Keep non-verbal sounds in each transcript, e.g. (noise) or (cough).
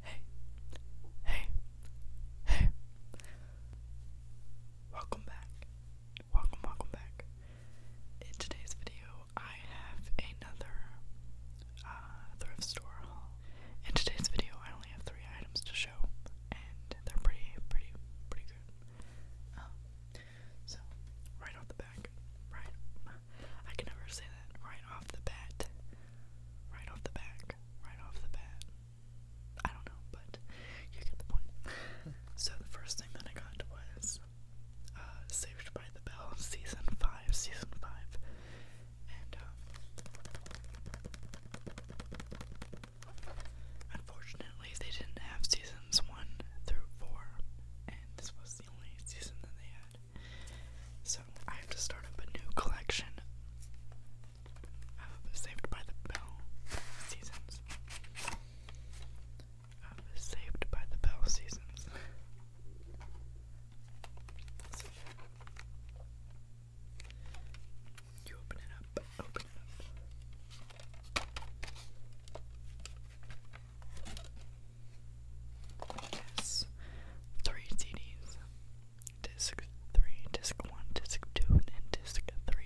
Hey, hey, hey. Welcome back. Welcome, welcome back. In today's video, I have another uh, thrift store haul. In today's video, I only have three items to show, and they're pretty, pretty, pretty good. Um, so, right off the back, right, I can never say that right off the bat. Right off the back. Right off the bat. I don't know, but you get the point. (laughs) so the first thing that I got was uh, Saved by the Bell, (laughs) season five, season five, and um, unfortunately they didn't have seasons one through four, and this was the only season that they had. So I have to start up a new collection of Saved by the Bell seasons. Of Saved by the Bell seasons. you open it up, open it up. Yes. Three CDs. Disc 3, Disc 1, Disc 2, and Disc 3.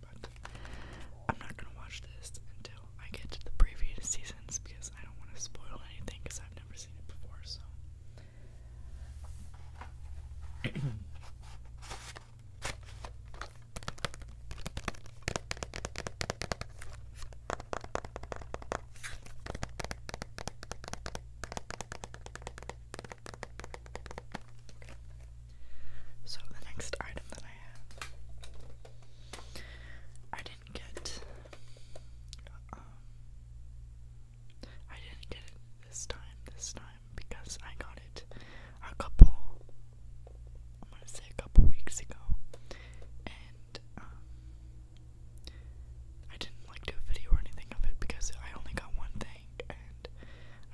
But I'm not gonna watch this until I get to the previous seasons because I don't want to spoil anything because I've never seen it before, so. (clears throat) So the next item that I have, I didn't get. Um, I didn't get it this time. This time because I got it a couple I'm gonna say a couple weeks ago and um, I didn't like do a video or anything of it because I only got one thing and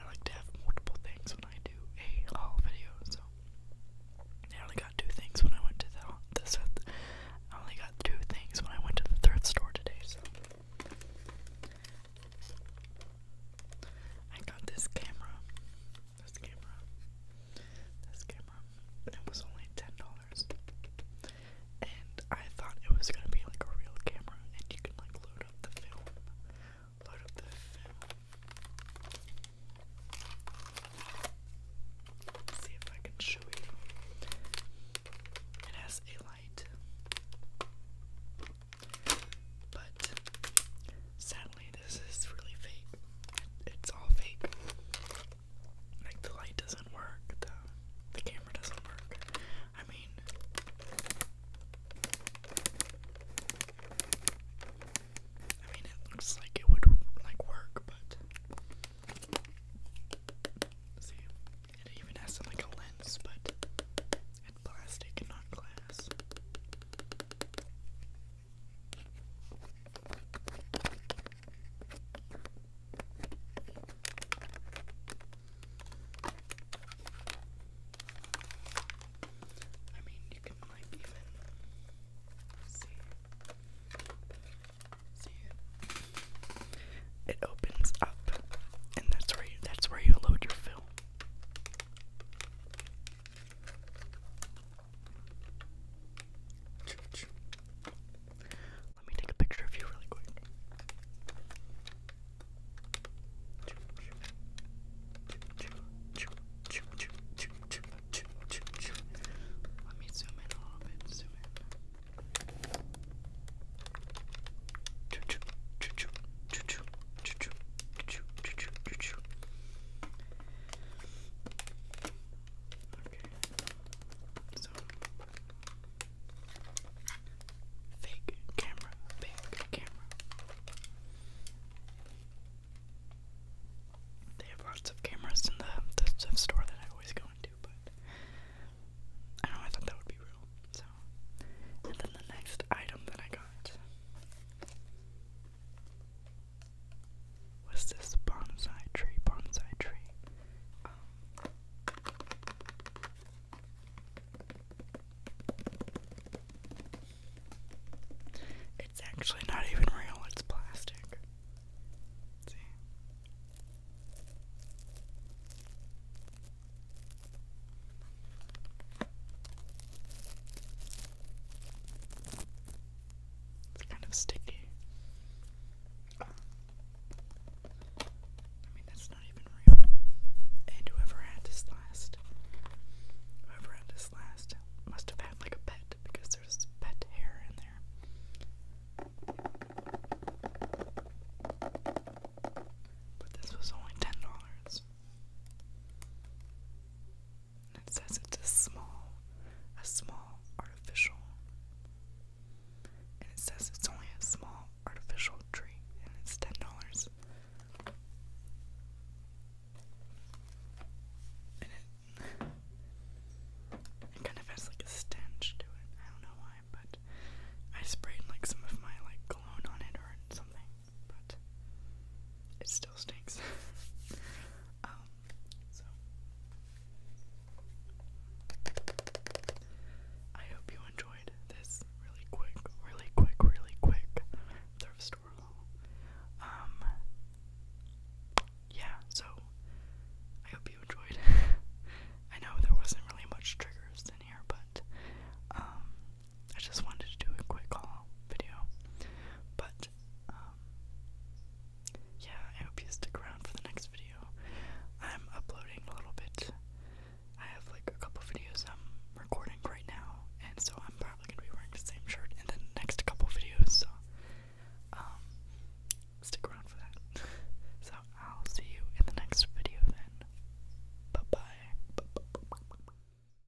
I like to have multiple things when I do a haul video so I only got two things when I went to the this I only got two things when I went to the thrift store today so I got this camera. This camera. This camera. It was only ten dollars. And I thought it was gonna be like a real camera and you can like load up the film. Load up the film. see if I can show you. It has a light. But sadly, this is really fake. It's all fake. Like the light doesn't work, the camera doesn't work. I mean. I mean, it looks like it would like work, but see, it even has like a lens, but and plastic, not glass. I mean, you can like even see see it. opens up, and that's where you, that's where you load your film. Let me take a picture of you really quick. Let me zoom in a little bit. Zoom in. Okay. So fake camera, fake camera. They have lots of cameras in the, the the store that I always go into, but I don't know, I thought that would be real. So and then the next item that I got What's this bonsai tree? Bonsai tree. it's actually not even real, it's plastic. see. It's kind of sticky. I mean, that's not even real. And whoever had this last, whoever had this last must have had like a pet because there's pet hair in there. But this was only ten dollars. And it says it's a small, a small artificial. And it says it's only a small artificial tree, and it's ten dollars. And it, it kind of has like a stench to it. I don't know why, but I sprayed like some of my like cologne on it or something, but it still stinks. (laughs) Um, so I hope you enjoyed this really quick, really quick, really quick thrift store Um, yeah, so I hope you enjoyed. (laughs) I know there wasn't really much triggers in here, but um, I just wanted to do a quick haul video, but um, yeah, I hope you stick around for the next video. I'm uploading a little bit. I have like a couple videos I'm recording right now, and so I'm probably gonna be wearing the same shirt in the next couple videos. So um, stick around for that. (laughs) so I'll see you in the next video then. bye, -bye.